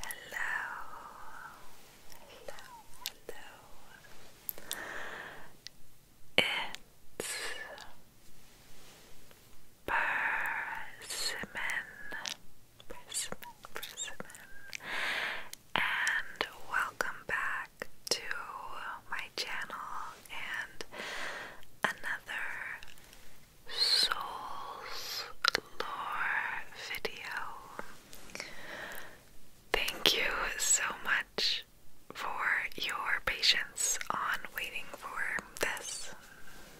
hello, hello. It's persimmon, persimmon, persimmon, and welcome back to my channel and another Souls Lore video. Thank you so much for your patience on waiting for this.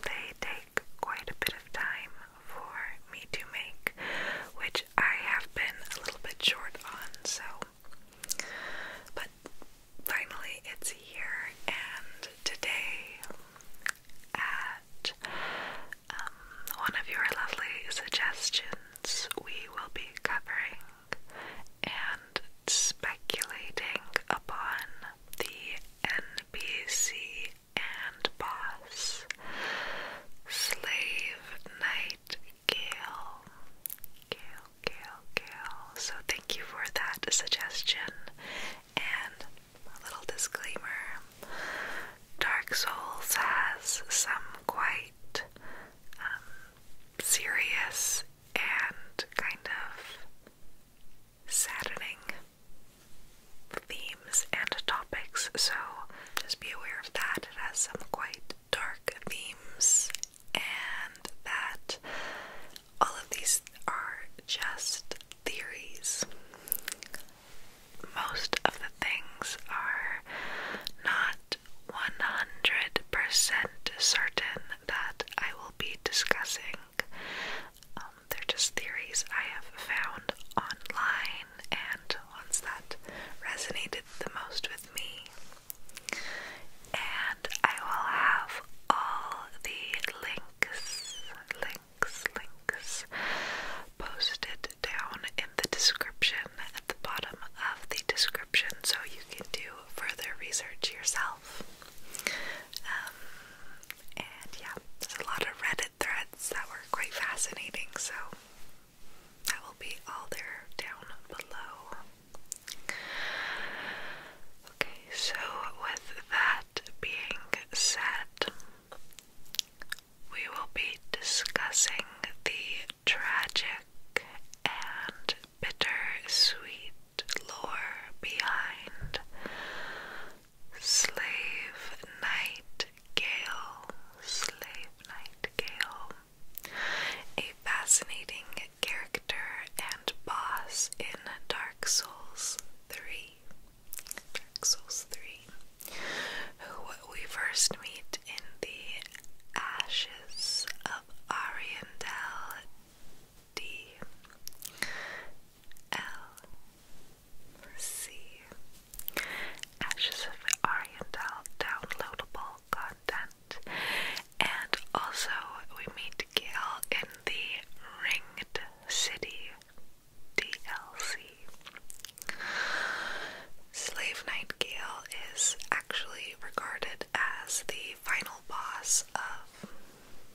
They take quite a bit of time for me to make, which I have been a little bit short on, so. But finally it's here and today at um, one of your lovely suggestions we will be covering and speculating upon the NBC and boss slave night Gail. Gail, Gail, Gail. So thank you for that suggestion. And a little disclaimer Dark Souls has some quite um, serious and kind of saddening themes and topics, so just be aware of that. It has some quite dark themes, and that all of these are just theories. Most of the things are not 100% certain that I will be discussing. Um, they're just theories I have found online and ones that resonated the most with me. And I will have all the links links, links, links posted down in the description at the bottom of the description so you can do further research yourself. Um, and yeah, there's a lot of Reddit threads that were quite fascinating, so that will be all there down below. Okay, so with that being said, we will be discussing the tragic and bitter sweet lore behind Slave Nightingale. Slave Nightingale, a fascinating character and boss in Dark. Dark 3. Dark 3. Who we first meet in the ashes of Ariandel D. L. C. Ashes of Oriental downloadable content. And also, we meet Gail in the Ringed City DLC. Slave Nightingale is actually regarded as the final boss of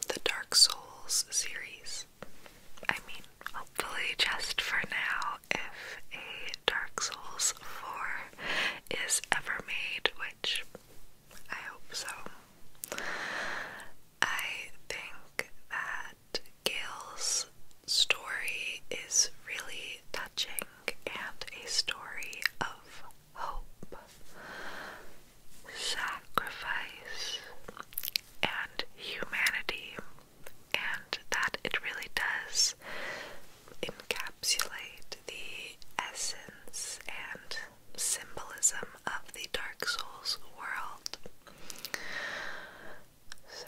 the Dark Souls series. I mean, hopefully, just for now, if a Dark Souls 4 is ever made, which I hope so, I think that Gail's story is really touching and a story of hope, sacrifice, and humanity, and that it really does encapsulate the essence and symbolism of the Dark Souls world. So,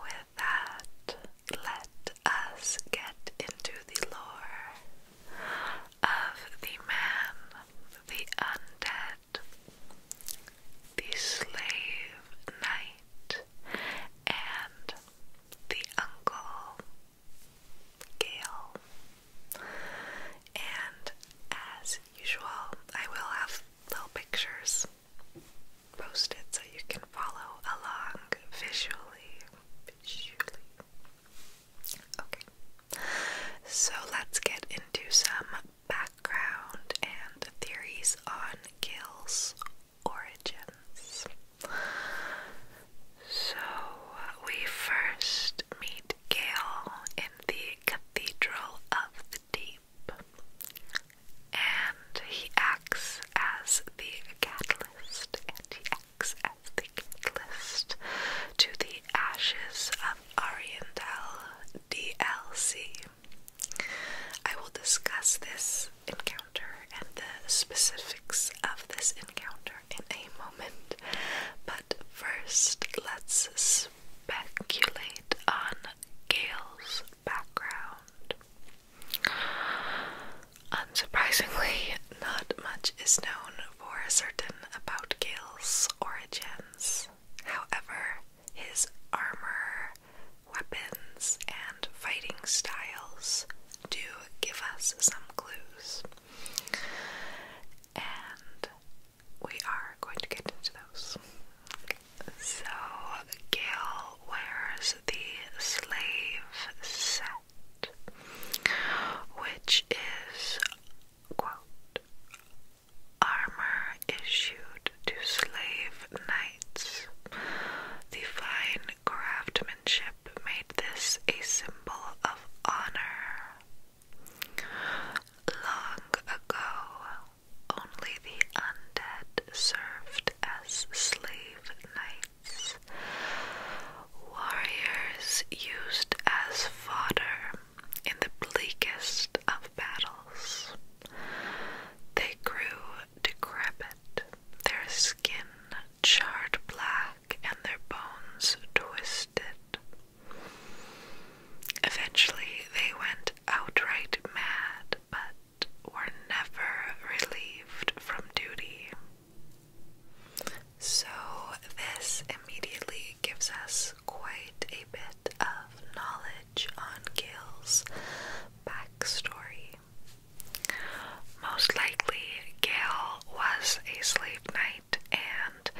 with that, let us get into the lore of the man, the undead, the slave knight, and the uncle. Gale. And as usual, I will have little pictures posted so you can follow along visually. Visually. Okay. So let's get into some background and theories on Gale's origins. So, we first meet Gale in the Cathedral of the Deep, and he acts as the catalyst, and he acts as the catalyst to the Ashes of Ariandel DLC. I will discuss this encounter and the specifics of this encounter in a moment. But first, let's speculate on Gale's background. Unsurprisingly, not much is known for certain about Gale's origins. However, his armor, weapons, and fighting styles do give us some clues and we are going to get into those. So, Gail wears the slave set, which is, quote, armor issued to slave knights. The fine craftsmanship made this a symbol of honor Long ago, only the undead served as slave knights, warriors used as fodder in the bleakest of battles. They grew decrepit, their skin charred black, and their bones twisted. Eventually, they went outright mad, but were never relieved from duty. So, this immediately gives us quite a bit of knowledge on Gail's backstory. Most likely, Gail was a sleep knight and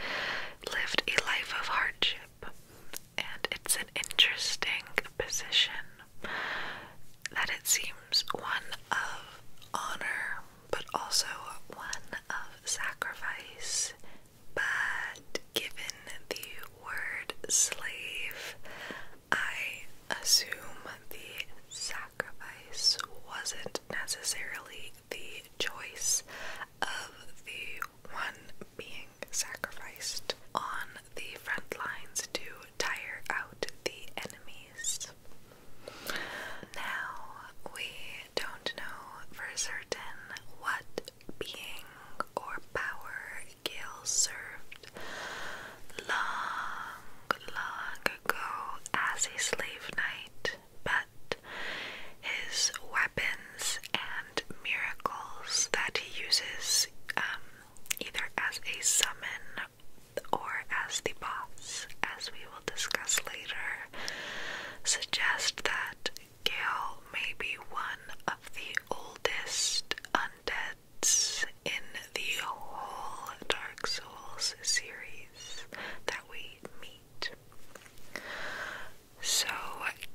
lived a life of hardship. And it's an interesting position that it seems one of honor, but also one of sacrifice. But given the word slave, I assume the sacrifice wasn't necessarily the choice of the one being sacrificed on the front lines to tire out the enemies. Now, we don't know for certain what being or power Gail served long, long ago as a slave knight but his weapons and miracles that he uses um, either as a summon or as the boss, as we will discuss later, suggest that Gale may be one of the oldest undeads in the whole Dark Souls series that we meet. So,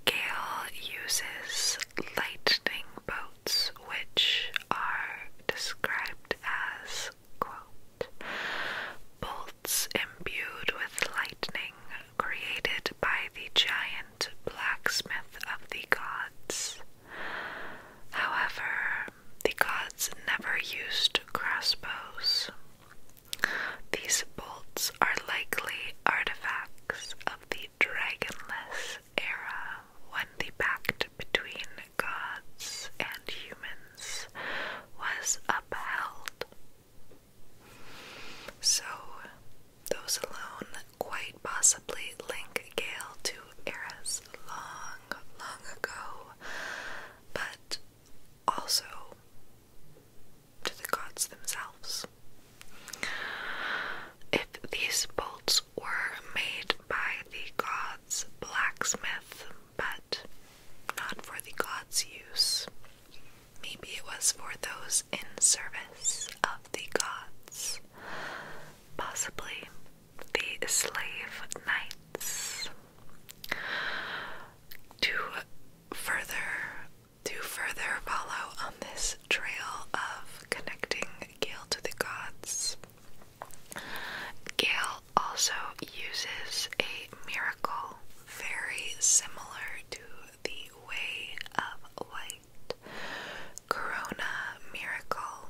Gale uses lightning bolts, which are described as, bolts imbued with lightning created by the giant blacksmith of the gods. However, the gods never used crossbows. These bolts are likely artifacts of the dragonless era when the pact between gods and humans was upheld. So, those alone quite possibly link Gale to eras long, long ago, but also to the gods themselves. If these bolts were made by the gods' blacksmith, but not for the gods' use, maybe it was for those in service of the gods, possibly the slave knights to further to further follow on this trail of connecting Gale to the gods. Gale also uses a miracle very similar to the Way of Light Corona Miracle.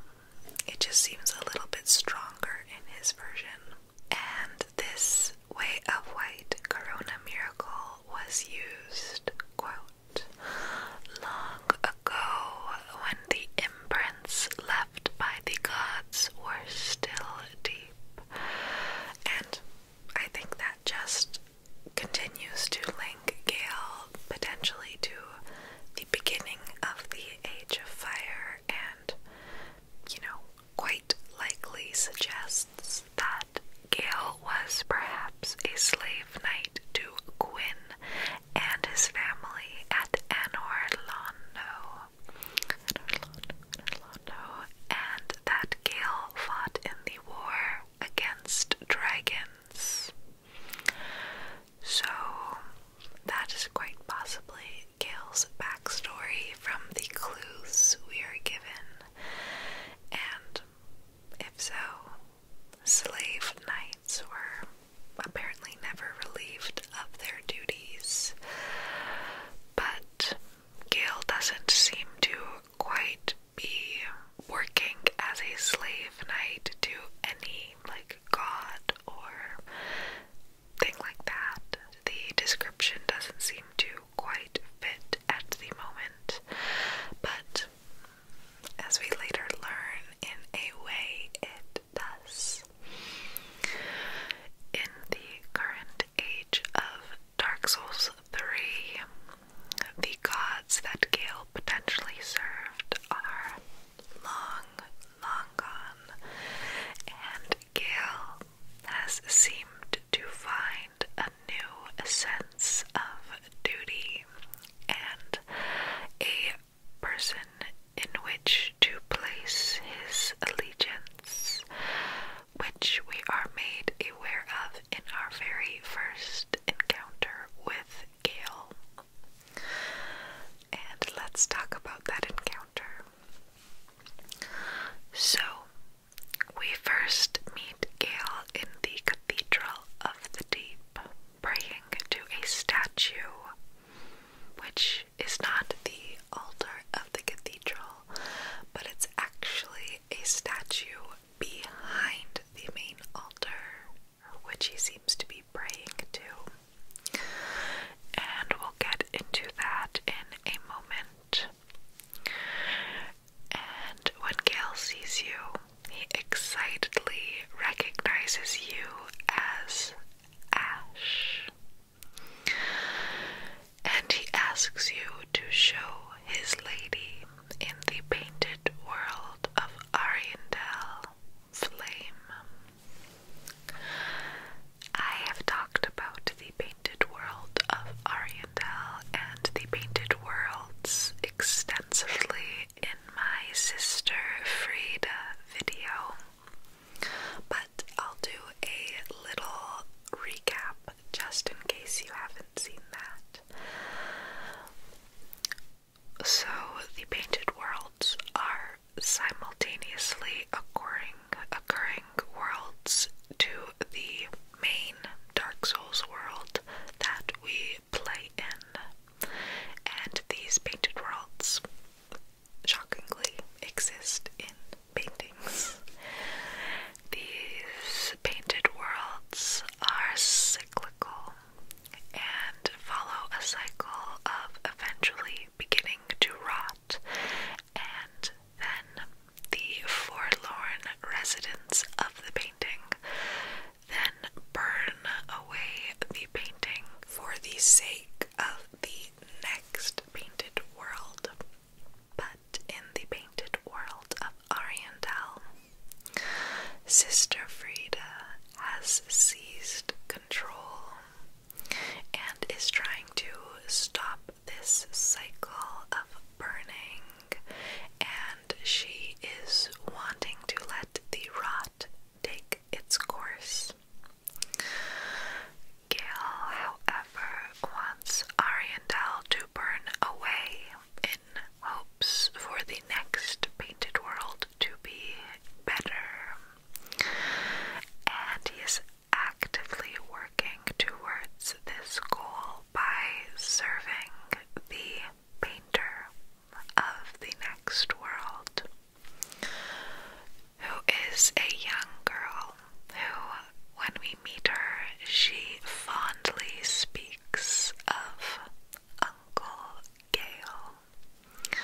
It just seems a little bit stronger in his version. And this way of white corona miracle was used, long ago when the imprints left by the gods were still deep. And I think that just continues to link Gail potentially to the beginning of the Age of Fire and, you know, quite likely suggests that Gail was perhaps a slave knight to Gwyn and his family at Anorlando, and that Gail fought in the war against dragons. So, that is quite possibly Gail's backstory from the clues we are given, and if so, slave knights were apparently never relieved of their duties. But Gail doesn't seem to quite be working as a slave knight to any like god or thing like that. The description doesn't seem to quite fit at the moment, but as we later learn, in a way it does. In the current age of Dark Souls 3, the gods that Gale potentially served are long, long gone, and Gale has seemed to find a new sense of duty and a person in which to place his allegiance, which we are made aware of in our very first encounter with Gale. And let's talk about that encounter. So, we first meet Gail in the Cathedral of the Deep, praying to a statue, which is not the altar of the cathedral, but it's actually a statue behind the main altar, which he seems to be praying to. And we'll get into that in a moment. And when Gale sees you, he excitedly recognizes you as Ash. And he asks you to show his lady in the painted world of Ariandel Flame. I have talked about the painted world of Ariandel and the painted worlds extensively in my sister Frida video, but I'll do a little recap just in case you haven't seen that. So, the painted worlds are simultaneously occurring occurring worlds to the main Dark Souls world that we play in. And these painted worlds, shockingly, exist in paintings. These painted worlds are cyclical and follow a cycle of eventually beginning to rot and then the forlorn residents of the painting, then burn away the painting for the sake of the next painted world. But in the painted world of Oriental, Sister Frida has seized control and is trying to stop this cycle of burning, and she is wanting to let the rot take its course. Gail, however, wants Ariandel to burn away in hopes for the next painted world to be better. And he actively working towards this goal by serving the painter of the next world, who is a young girl who, when we meet her, she fondly speaks of Uncle Gale.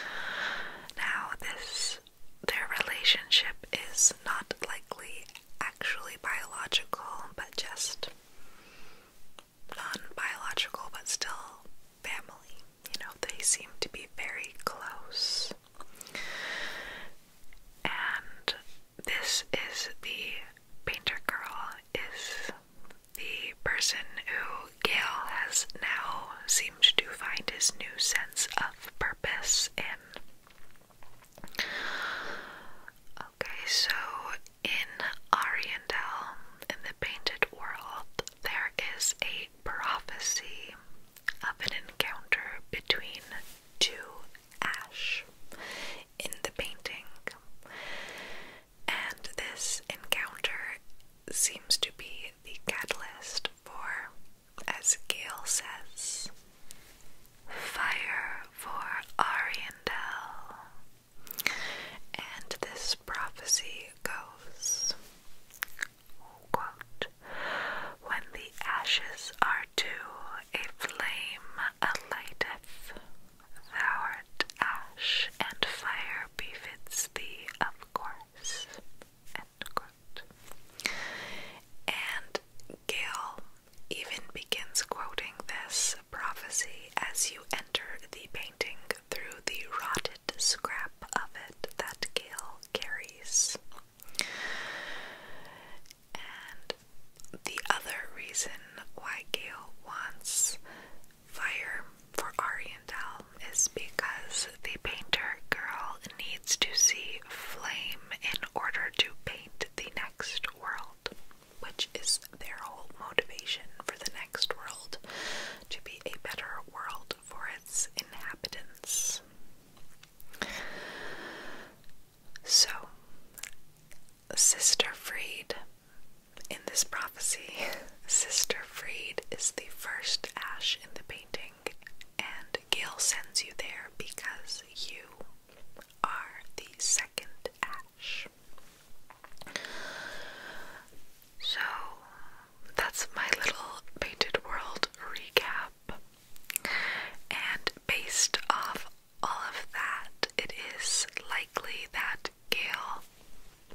Now, this their relationship is not likely actually biological, but just non biological, but still family. You know, they seem to be very close. And this is the painter girl, is the person who Gail has now seemed to find his new sense of purpose in. Okay, so in Ariandel, in the painted world, there is a prophecy of an encounter between two ash in the painting. And this encounter seems to be the catalyst for, as Gail says, fire for Ariandel. And this prophecy goes When the ashes are due, a flame alighteth. Thou art ash, and fire befits thee, of course. And Gail even begins quoting this prophecy as you enter the painting through the rotted scrap of it that Gail carries. And the other reason why Gale wants fire for Oriental is because the painter girl to see flame in order to paint the next world, which is their whole motivation for the next world to be a better world for its inhabitants. So, Sister Freed, in this prophecy, Sister Freed is the first ash in the painting and Gail sends you there because you are the second Ash. So that's my little Painted World recap. And based off all of that, it is likely that Gale,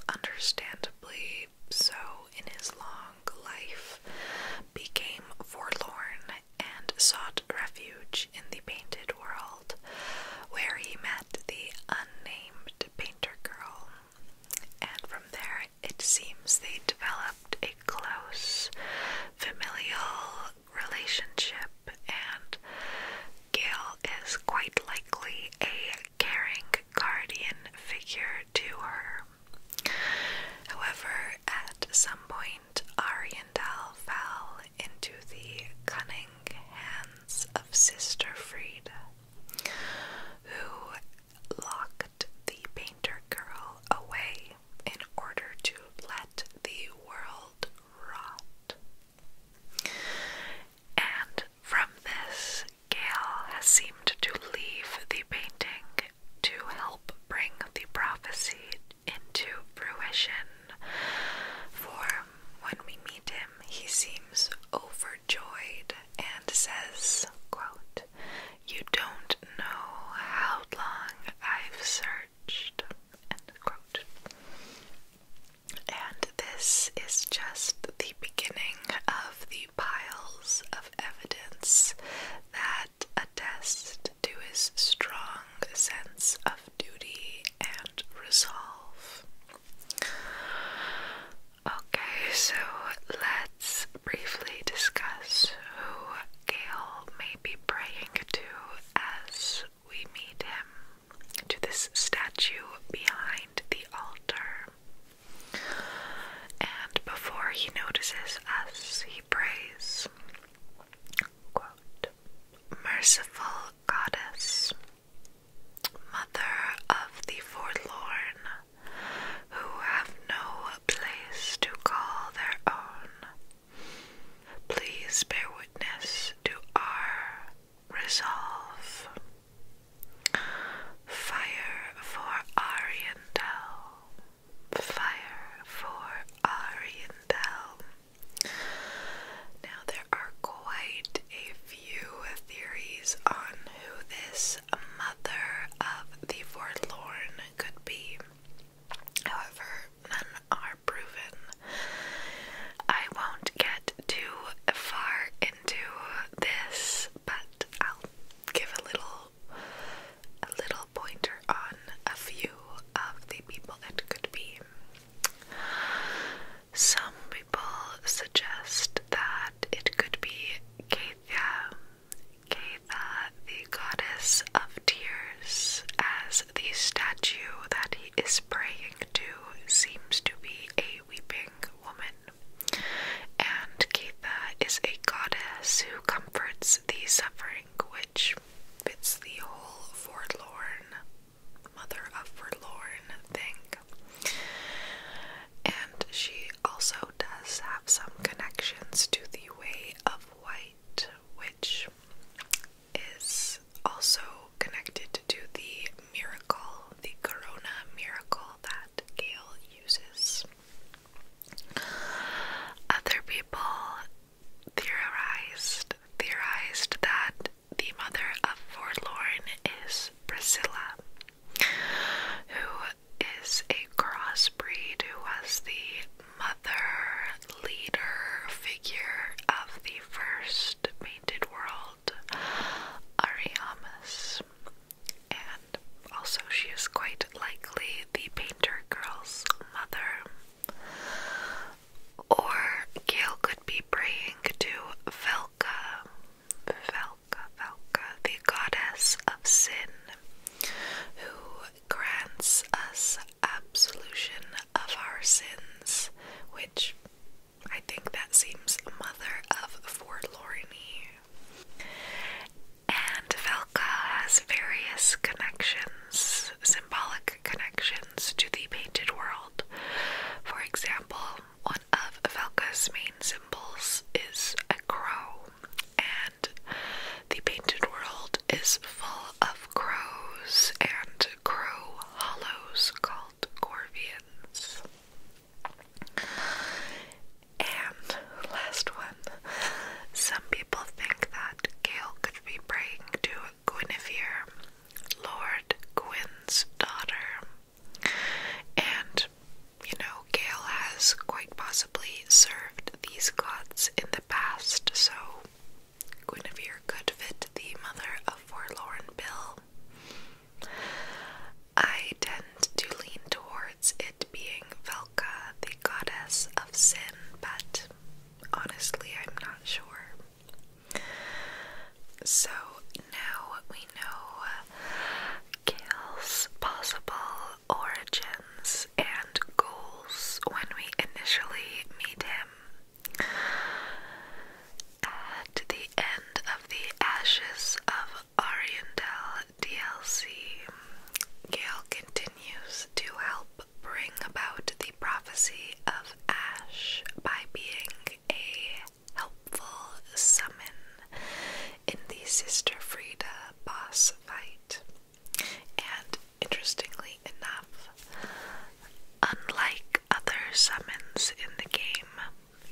understandably so in his law, life, became forlorn and sought refuge in the painted world, where he met the unnamed painter girl. And from there, it seems they developed a close familial relationship, and Gail is quite likely a caring guardian figure to her. However, at some point, Ariandel fell into the cunning hands of Sister Frida, who locked the painter girl away in order to let the world rot. And from this, Gale has seemed to leave the painting to help bring the prophecy into fruition. For when we meet him, he seems overjoyed and says, You don't know how long I've searched. And this is just the beginning of the piles of evidence that attest to his strong sense of duty and resolve. Okay, so let's briefly discuss who Gale may be praying to as we meet him to this statue behind the altar. And before he notices us, Praise, Merciful Goddess, Mother of the forlorn, who have no place to call their own, please bear witness to our resolve. Fire for Ariandel, Fire for Oriental. Now, there are quite a few theories on who this mother of the forlorn could be. However, none are proven. I won't get too far into this, but I'll give a little a little pointer on a few of the people it could be. Some people suggest that it could be Keitha, Keitha, the goddess of tears, as the statue that he is praying to seems to be a weeping woman. And Keitha is a goddess who comforts the suffering which fits the whole forlorn, mother of forlorn thing. And she also does have some connections to the way of white, which is also connected to the miracle, the corona miracle that Gale uses. Other people theorized theorized that the mother of Forlorn is Priscilla, who is a crossbreed who was the mother leader figure of the first Painted World, Ariamis and also she is quite likely the painter girl's mother. Or Gail could be praying to Velka, Velka, Velka, the goddess of sin, who grants us absolution of our sins, which I think that seems mother of forlorny. And Velka has various connections, symbolic connections to the painted world. For example, one of Velka's main symbols is a crow, and the painted world is full of crows and crow hollows called corvians. And last one. Some people think that Gail could be breaking to Guinevere, Lord Gwyn's daughter. And, you know, Gail has quite possibly served these gods in the past, so Guinevere could fit the mother of Forlorn Bill. I tend to lean towards it being Velka, the goddess of sin, but honestly, I'm not sure. So now we know Gale's possible origins and goals when we initially meet him. At the end of the Ashes of Oriental DLC, Gale continues to help bring about the prophecy of Ash by being a helpful summon in the Sister Frida boss fight. And interestingly enough, unlike other summons in the game,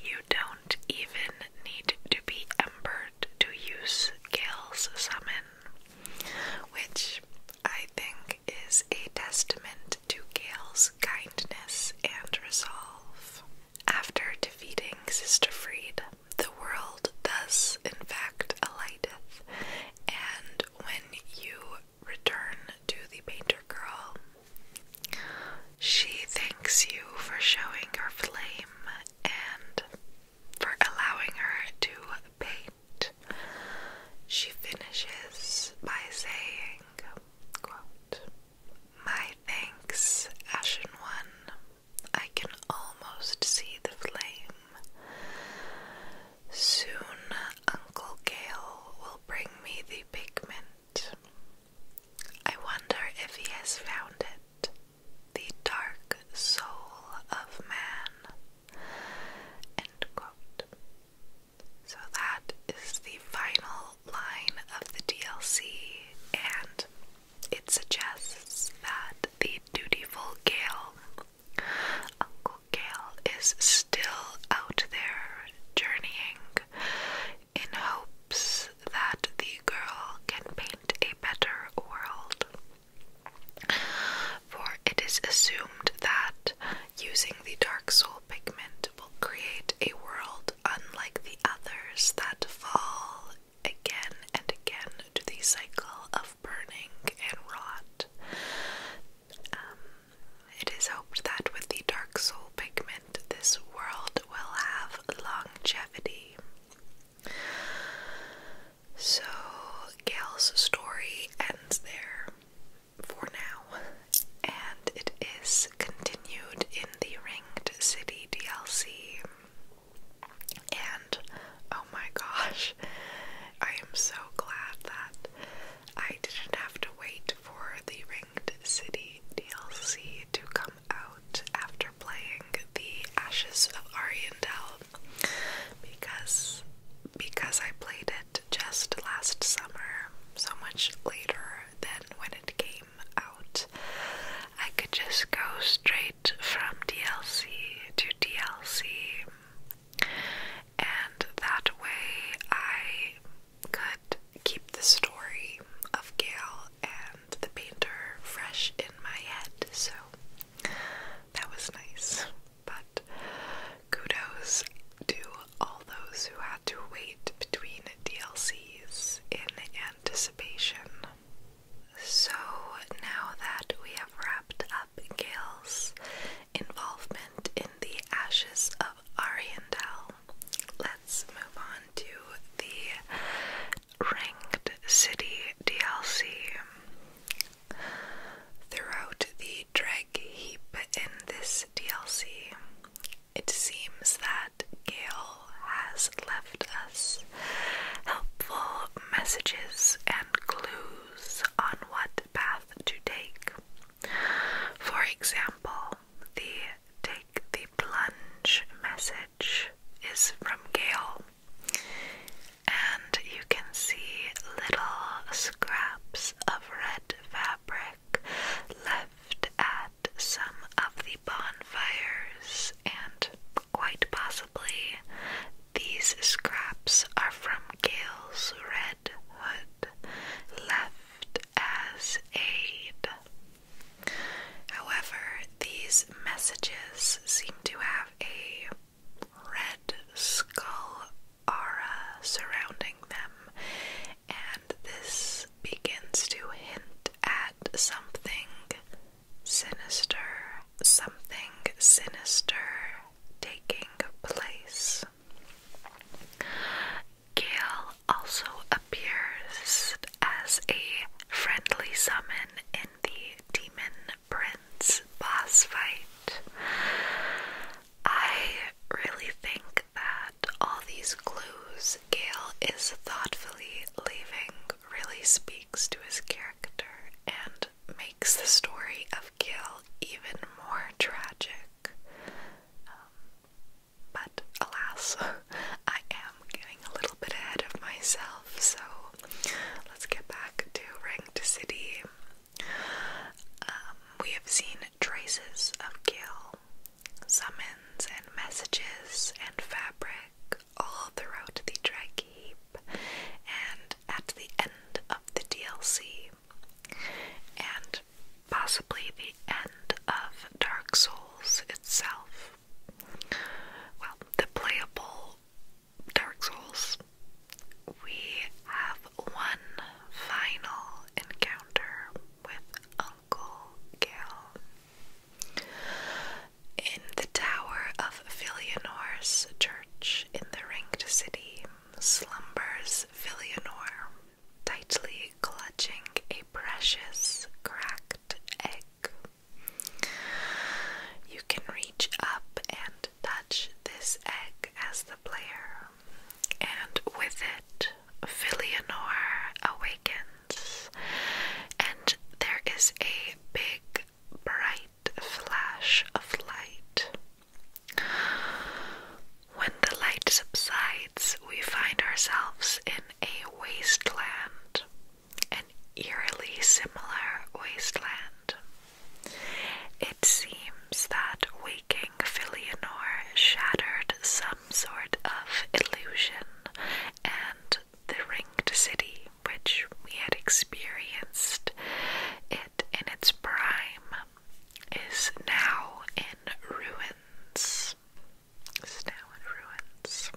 you don't even need to be Embered to use Gale's summon which I think is a testament to Gale's kindness and resolve. After defeating Sister Freed, the world thus in fact alighteth, and when you return to the painter girl, she thanks you for showing her flame and for allowing her to paint. She finishes by saying, My thanks, Ashen One. I can almost see the flame. Soon Uncle Gale will bring me the pigment. I wonder if he has found it the dark soul of man. So that is the final line of the DLC, and it suggests that the dutiful Gale, Uncle Gale, is still out there journeying in hopes that the girl can paint a better world. For it is assumed that using the Dark Soul pigment will create a world unlike the others that fall again and again to the cycle of burning and rot. Um, it is hoped that with the Dark Soul pigment, this world will have longevity. So, Gail's story ends there for now, and it is continued in the Ringed City DLC. And oh my gosh, I am so glad that I didn't have to wait for the Ringed City DLC to come out after playing the Ashes of Ariandel because because I played it just last summer, so much later than when it came out. I could just go straight from DLC to DLC, and that way I could keep the story of Gale and the painter fresh in my head, so that was nice. But kudos to all those who had to wait between DLCs in anticipation. So now that we have wrapped up Gail's involvement in the Ashes of Ariandel, let's move on to the ranked city DLC throughout the drag heap in this DLC. It seems that Gail has left us helpful messages and clues on what path to take. For example, the Take the Plunge message is from Gail, and you can see little scraps of red fabric left at some of the bonfires, and quite possibly these scraps are from Gale's red hood left as aid. However, these messages seem to have a red skull aura surrounding them, and this begins to hint at something sinister, something sinister taking place. Gail also appears as a friendly summon in the Demon Prince boss fight. I really think that all these clues Gail is thoughtfully leaving really speaks to his character and makes the story of Gail even more tragic. Um, but alas, I i am getting a little bit ahead of myself, so let's get back to Ranked City. Um, we have seen traces of Gale, summons and messages and fabric all throughout the drag heap and at the end of the DLC and possibly the end of Dark Souls itself well, the playable Dark Souls. We have one final encounter with Uncle Gale. In the tower of Villianor's church in the ringed city slumbers Villianor, tightly clutching a precious cracked egg. You can reach up and touch this egg as the player, and with it, Filianor awakens, and there is a big, bright flash of light. When the light subsides, we find ourselves in a wasteland an eerily similar wasteland. It seems that waking Filianor shattered some sort of illusion, and the ringed city, which we had experienced it in its prime, is now in ruins. now in ruins.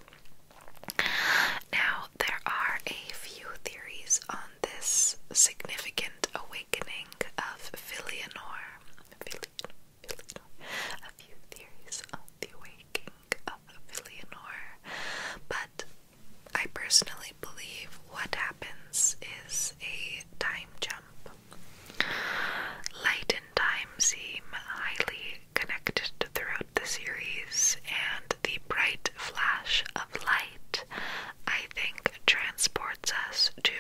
Now, there are a few theories on this significant awakening of Filionor. A few theories on the awakening of Filianor, but I personally believe what happens is a time jump. Light and time seem highly connected throughout the series, and the bright flash of light, I think, transports us to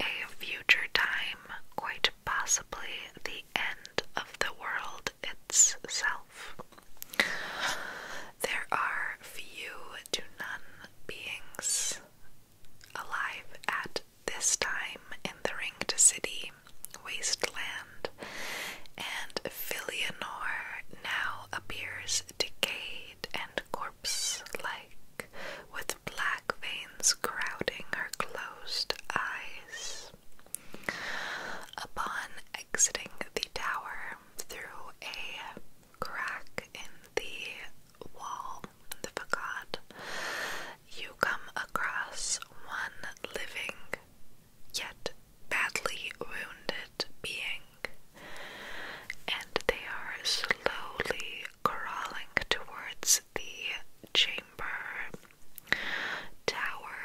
a future time, quite possibly the end of the world itself. There are few to none beings alive at this time in the Ringed City wasteland and Filianor now appears decayed and corpse-like, with black veins crowding her closed eyes. Upon exiting the tower through a crack in the wall, the facade, you come across one living yet badly wounded being, and they are slowly crawling towards the chamber tower,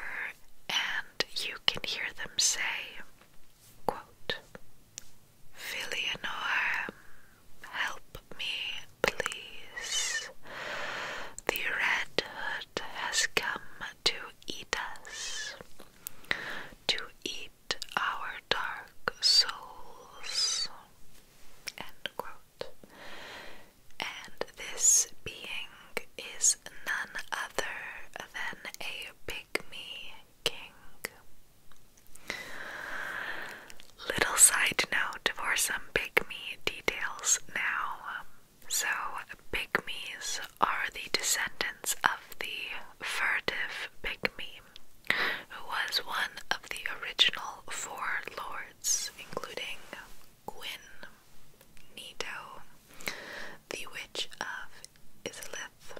and you can hear them say, quote, help me, please. The red has come to eat us, to eat our dark souls. And this being is none other than a pygmy king. Little side note for some pygmy details now. So, Pygmies are the descendants of the furtive Pygmy, who was one of the original four lords, including Gwyn, Nito, the Witch of Islith,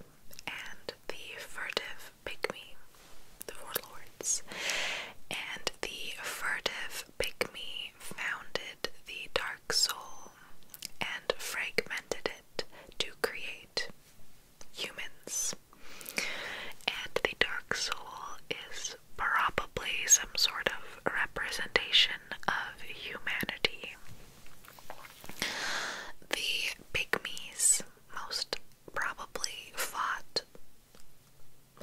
and the furtive Pygmy, the four lords. And the furtive Pygmy founded the Dark soul and fragmented it to create humans. And the dark soul is probably some sort of representation of humanity. The pygmies most probably fought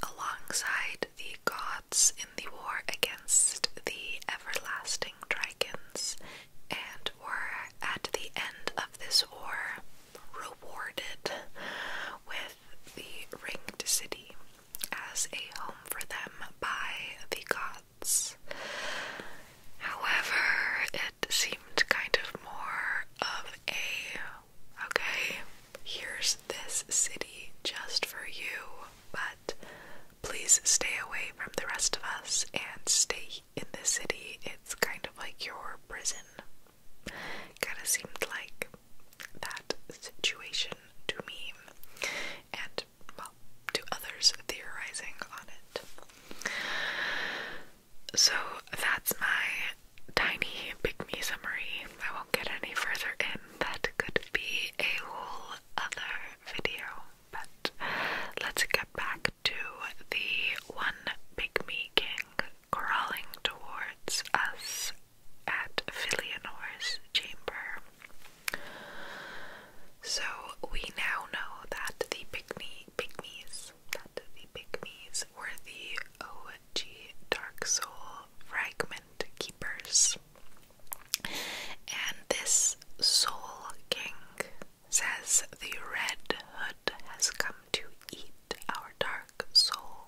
alongside the god in the war against the everlasting Dragons and were at the end of this war rewarded with the Ringed City as a home for them by the gods. However, it seemed kind of more of a okay, here's this city just for you, but please stay away from the rest of us and stay in the city. It's kind of like your prison. Kind of seemed like that situation to me and, well, to others theorizing on it. So that's my tiny pick me summary. I won't get any further in. That could be a whole other video, but let's get back to the one pygmy king crawling towards us at Philionore's chamber. So we now know that the pygmy pygmies that the pygmies were the OG Dark Soul fragment keepers. And this Soul King says the Red Hood has come to eat our dark soul.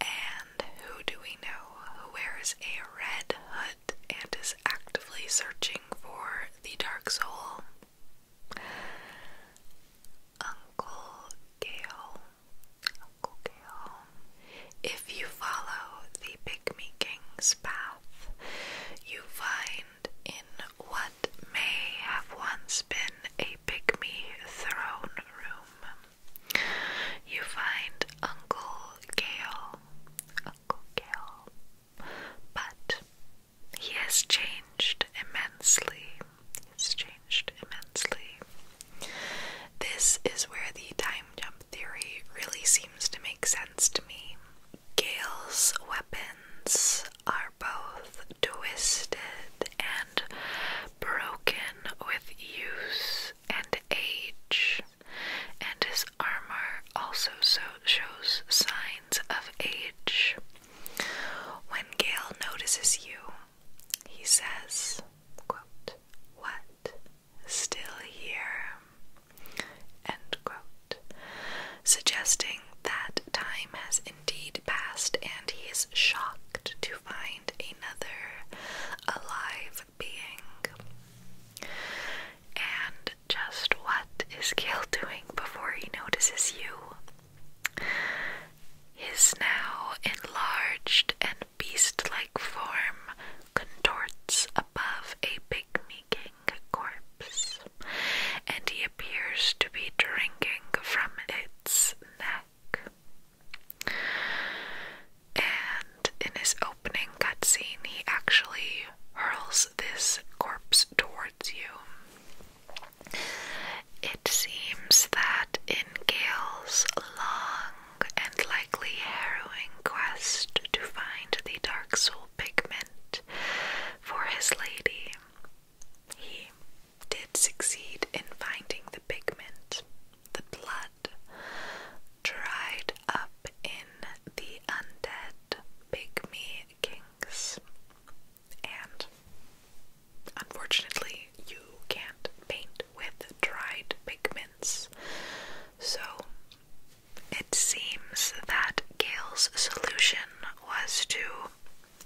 And who do we know who wears a red hood and is actively searching for the dark soul? Uncle Gale. Uncle Gale. If you follow the Pygmy King's path, you find in what may have once been a Pygmy throne room, you find Uncle Gale. Uncle Gale. But he has changed immensely. It's changed immensely. This is where the time jump theory really seems to make sense against me. Gale's weapons are both twisted and broken with use and age, and his armor also shows signs of age. When Gale notices you, he says, What still here, suggesting that time has indeed passed and he is shocked to find another alive being. And just what is Gale doing before he notices you? His now enlarged and beast like form contorts above a pygmy king corpse, and he appears to be drinking from its neck. And in his opening cutscene, he actually hurls this corpse towards you. It seems that in Gail's long and likely harrowing quest to find the Dark Soul pigment for his lady. He did succeed in finding the pigment. The blood dried up in the undead pygmy kings. And unfortunately, you can't paint with dried pigments. So it seems that Gale's solution was to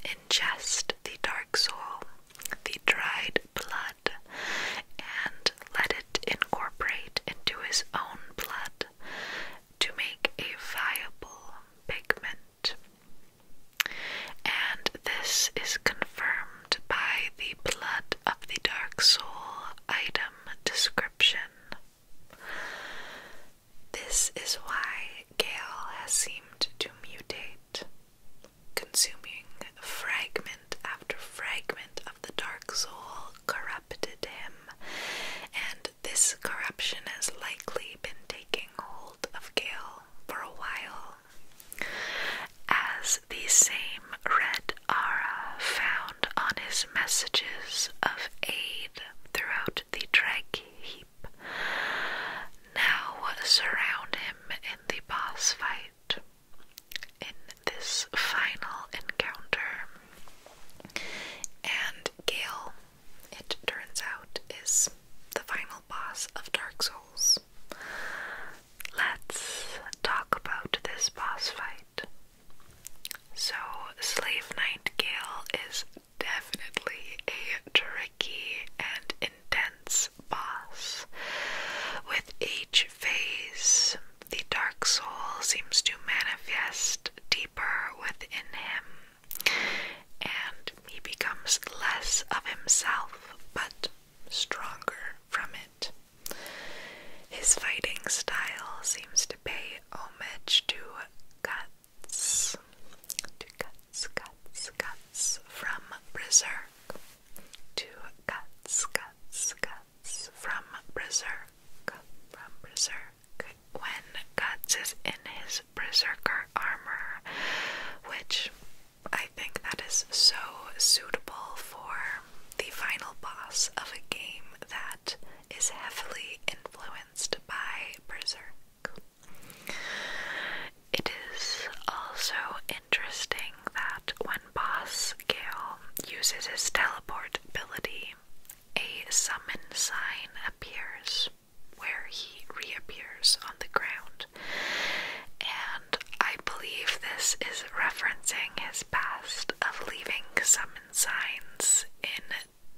ingest the dark soul, the dried blood, and let it incorporate into his own blood to make a viable pigment. And this is confirmed by the blood of the dark soul item description. This is why Gale has seemed to mutate, consuming fragment after fragment of the Dark Soul corrupted him, and this corruption has likely been taking hold of Gale for a while. As the same red aura found on his messages of aid throughout the drag heap now surround him in the boss fight. In this final encounter, and Gale, it turns out, is the final boss of Dark Souls. Let's talk about this boss fight. So, Slave Nightingale is definitely a tricky and intense boss. With each phase, the Dark Soul seems to manifest deeper within him, and he becomes less of himself but stronger from it. His fighting style seems to pay homage to Guts, to Guts, Guts, Guts from Berserk, to Guts, Guts, Guts from Berserk, from Berserk. When Guts is in his Berserker armor, which I think that is so suitable for the final boss of a game that is heavily influenced by Berserk. It is also interesting that when Boss Gale uses his teleport ability, a summon sign appears where he reappears on the ground. And I believe this is referencing his past of leaving summon signs in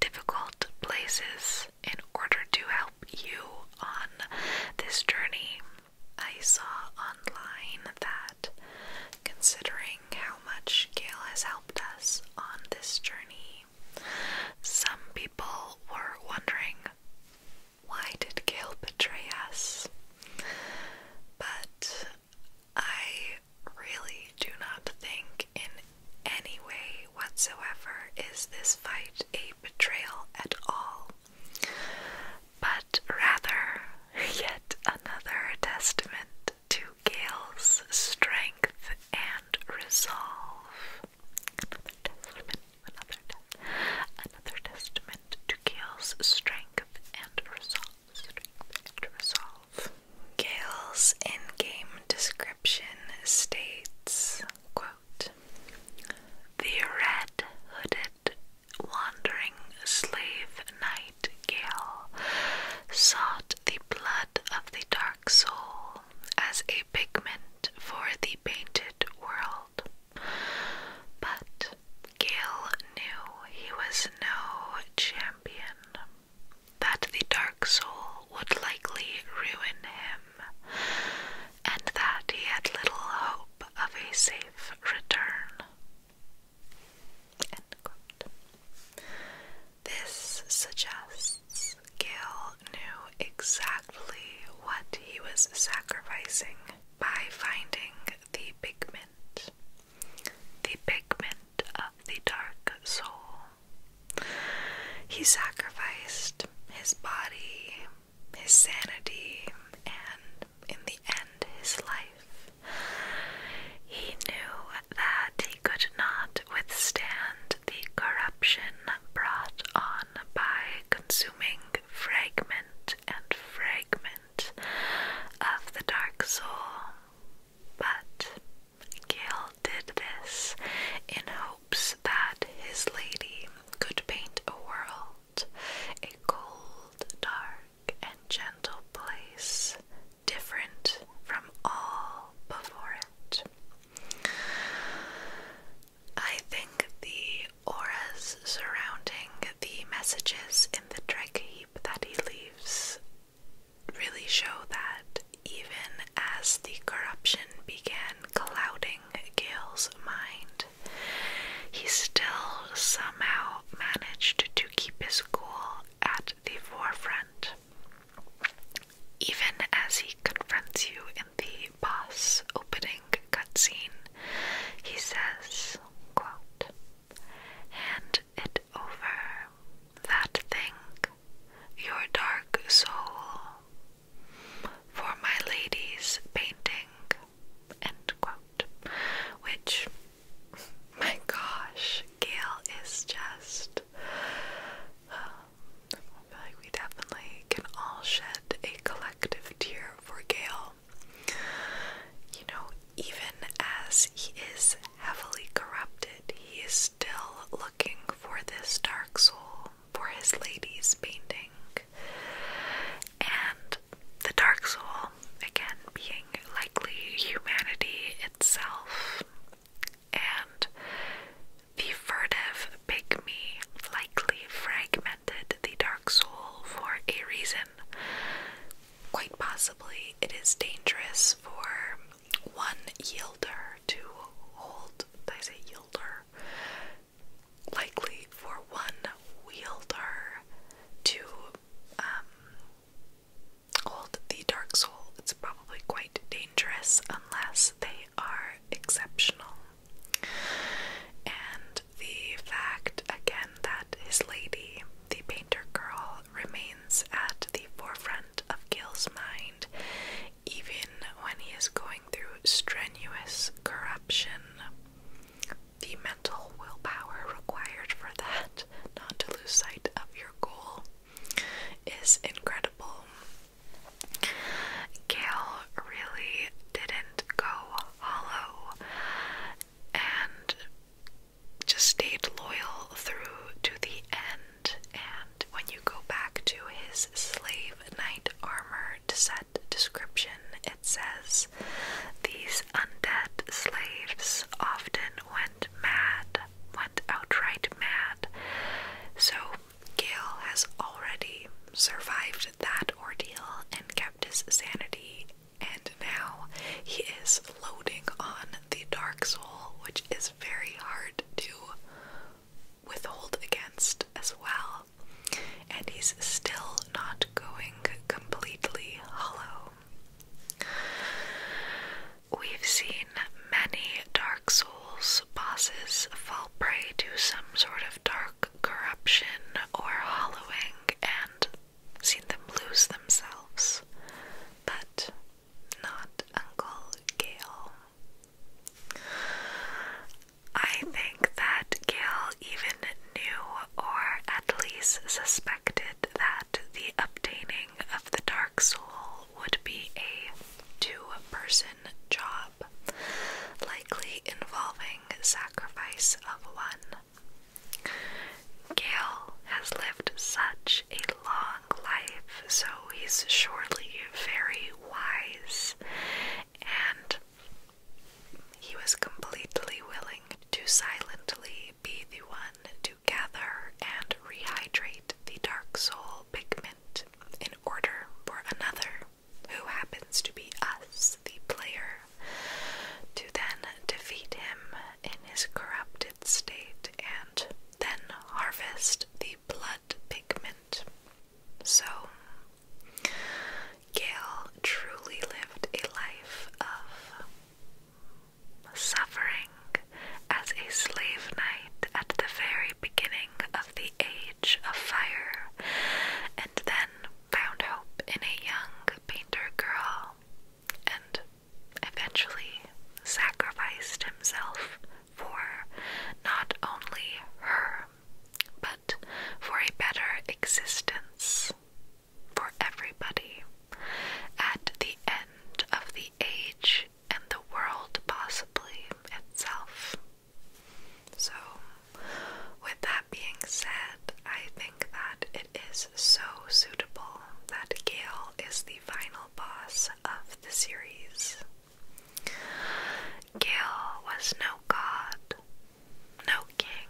difficult places in order to help you on this journey. I saw online that considering how much Gail has helped us on this journey, some people were wondering why did Gail betray us? But I really do not think in any way whatsoever is this fight a betrayal at all, but rather yet another testament to Gail's strength and resolve. Another testament, another, te another testament to Gale's strength and resolve. Gale's in-game description states, quote, The red-hooded wandering slave knight Gale sought the blood of the dark soul as a pigment for the painted world. But Gale knew he was no champion, that the Dark Soul would likely ruin him, and that he had little hope of a safe return. This suggests Gale knew exactly what he was sacrificing by finding the pigment the pigment of the dark soul. He sacrificed his body, his sanity, and in the end, his life. He knew that he could not withstand the corruption brought on by consuming fragment and fragment of the Dark Soul. But Gil did this in hopes that his lady could paint a world, a cold, dark, and gentle place, different from all before it. I think the auras surrounding the messages in the Drake that he leaves really show that even as the corruption began clouding Gail's mind, he still somehow managed to keep his cool at the forefront. Even as he confronts you in the boss opening cutscene, he says, quote, Hand it over, that thing, your dark soul, for my lady's painting. End quote. Which, my gosh, Gail is just. Um, I feel like we definitely can all shed a collective tear for Gail. You know, even as he is heavily corrupted, he is still looking for this dark soul for his lady's painting. And the dark soul, again, being likely humanity itself. And the furtive pygmy likely fragmented the dark soul for a reason, quite possibly it is dangerous for one yielder to hold, I say yielder? Likely for one wielder to um, hold the Dark Soul. It's probably quite dangerous unless they are exceptional. And the fact, again, that his lady the painter girl remains at the forefront of Gil's mind, even when he is going through strenuous corruption. The mental willpower required for that, not to lose sight of your goal, is incredible. Gail really didn't go hollow, and just stayed loyal through to the end. And when you go back to his slave knight armor set description, it says these undead slaves often went mad, went outright mad. So Gale has already survived that ordeal and kept his sanity and now he is loading on the Dark Soul, which is very hard to withhold against as well. And he's still not going completely hollow. We've seen many Dark Souls bosses fall prey to some sort of dark corruption or hollowing, and seen them lose themselves, but not Uncle Gale. I think that Gale even knew or at least suspected that the obtaining of the Dark Soul would be a two person job, likely involving sacrifice of one. Gale has lived such a long life, so he's surely very wise, and he was completely willing to silently be the one to gather and rehydrate the dark soul pigment in order for another who happens to be us, the player, to then defeat him in his corrupted state and then harvest the blood pigment. So, Gail truly lived a life of suffering as a slave knight at the very beginning of the Age of Fire, and then found hope in a young painter girl and eventually sacrificed himself for not only her, but for a better existence for everybody. At the end of the age and the world, possibly itself. So, with that being said, I think that it. Is so suitable that Gale is the final boss of the series. Gale was no god, no king,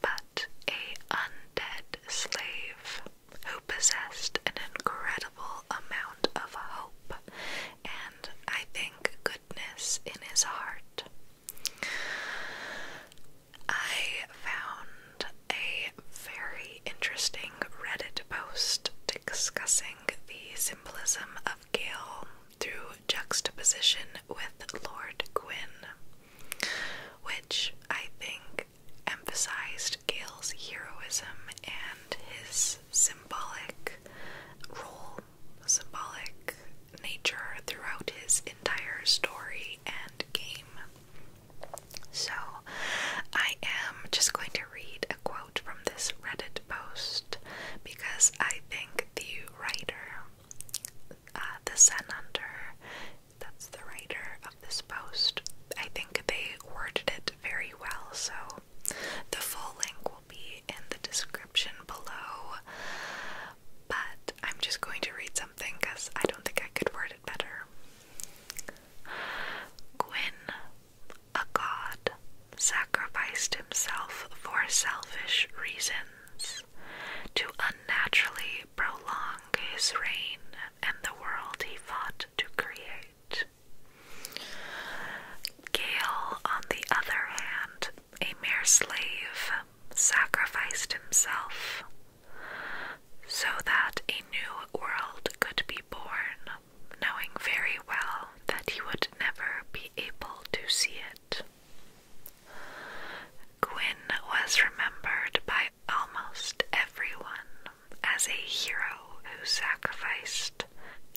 but a undead slave who possessed an incredible amount of hope and, I think, goodness in his heart. I found a very interesting Reddit post discussing the symbolism of Gail through juxtaposition with Lord Gwyn, which I think emphasized Gail's heroism and his symbolic role, symbolic nature throughout his entire story and game. So, I am just going to read a quote from this Reddit post because I think the writer, uh, the Sun that's the writer of this post, I think they worded it very well. So, the full link will be in the description below. But I'm just going to read some. Gwyn, a god, sacrificed himself for selfish reasons to unnaturally prolong his reign and the world he fought to create. Gale, on the other hand, a mere slave, sacrificed himself so that a new world could be born, knowing very well that he would never be able to see it. Gwyn was remembered by almost everyone as a hero who sacrificed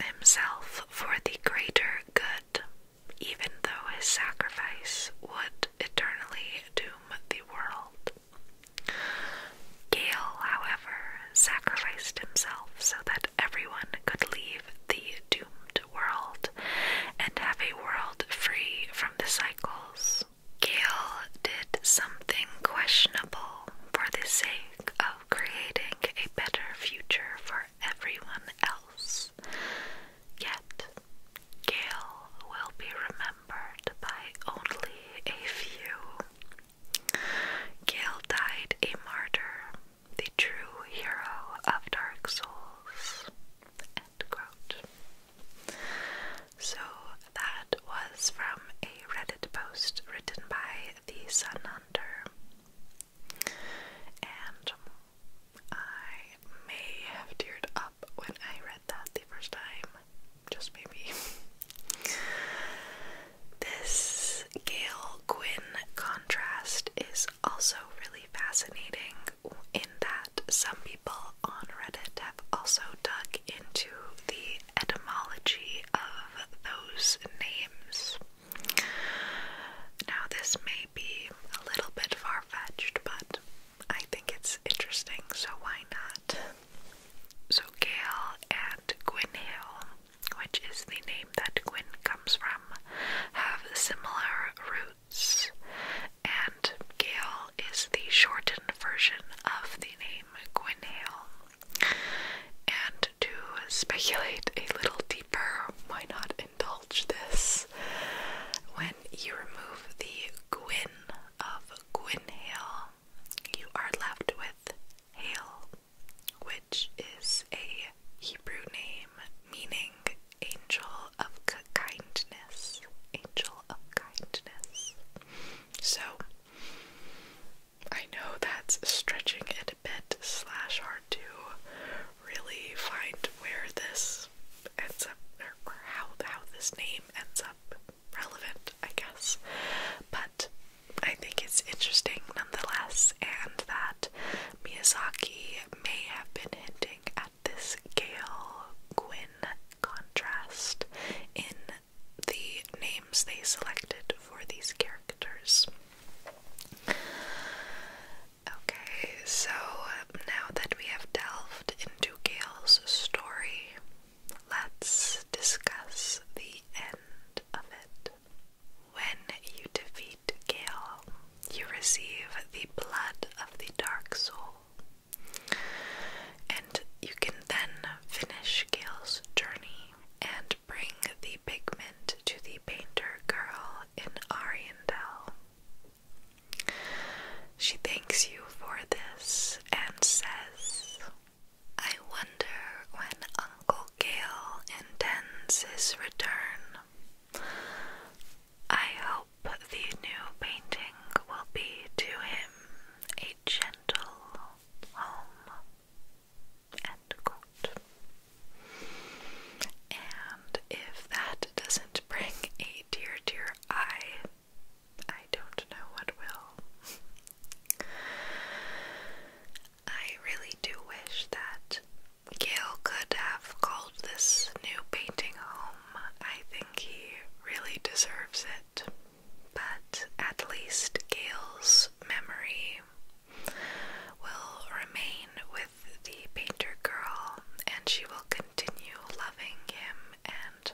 himself for the greater good, even though his sacrifice would eternally doom the world. Gale, however, sacrificed himself so that everyone could leave the doomed world and have a world free from the cycles. Gale did something questionable for the sake of creating a better future for everyone else. Yet, Gail will be remembered by only a few. Gail died a martyr, the true hero of Dark Souls. So that was from a Reddit post written by the Sun And I may have teared up when I read that the first time. Just maybe. this Gail Quinn contrast is also really fascinating in that some people on Reddit have also dug into the etymology of those names. Now, this may be a little bit far fetched, but I think it's interesting, so why not? So Gail and Gwynhale, which is the name that Gwyn comes from, have similar roots, and Gail is the shortened version of the name Gwynhale. And to speculate a little deeper, why not indulge this? When you remove the Gwyn of Gwynhale, you are left with Hale, which is a Hebrew name meaning angel of kindness. Angel of kindness. So, I know that's stretching it a bit slash hard to really find where this ends up, or, how how this name ends up relevant, I guess. But I think it's interesting nonetheless, and that Miyazaki may have been hinting at this Gale Gwyn contrast in the names they selected for these characters. Okay, so now that we have delved into Gail's story, let's discuss the end of it. When you defeat Gail, you receive the blood of the Dark Soul, and you can then finish Gail's journey and bring the pigment to the painter girl in Ariandel. She thanks you for this and says, I wonder when Uncle Gale intends his return. I hope the new painting will be to him a gentle home. End quote. And if that doesn't bring a dear, dear eye, I don't know what will. I really do wish that Gail could have called this new painting home. I think he really deserves it. But at least Gail's memory will remain with the painter girl and she will continue loving him and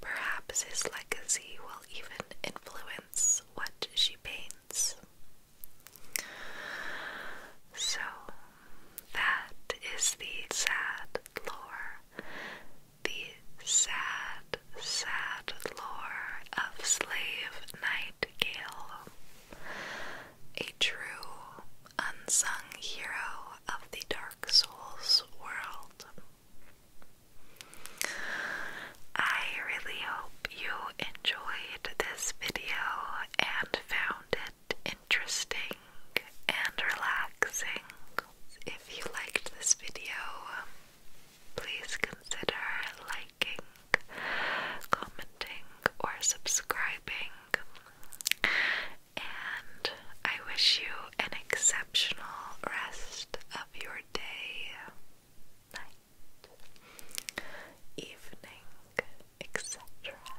perhaps his legacy will even influence what she paints. So, that is the sad lore, the sad, sad lore of Slave Nightingale, a true unsung hero of the dark. Souls world. I really hope you enjoyed this video and found it interesting and relaxing. If you liked this video, please consider liking, commenting, or subscribing and I wish you an exceptional rest of your day, night, evening, etc.,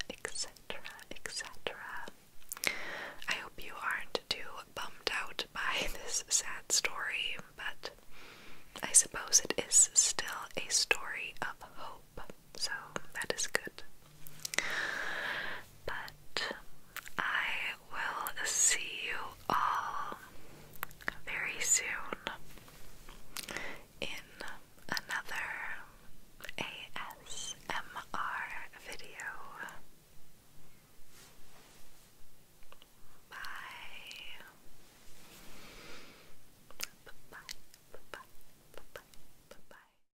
etc., etc. I hope you aren't too bummed out by this sad story, but I suppose it is still a story of hope, so that is good. But I will see you all very soon in another ASMR video. Bye. Bye. Bye. Bye. Bye. Bye. Bye.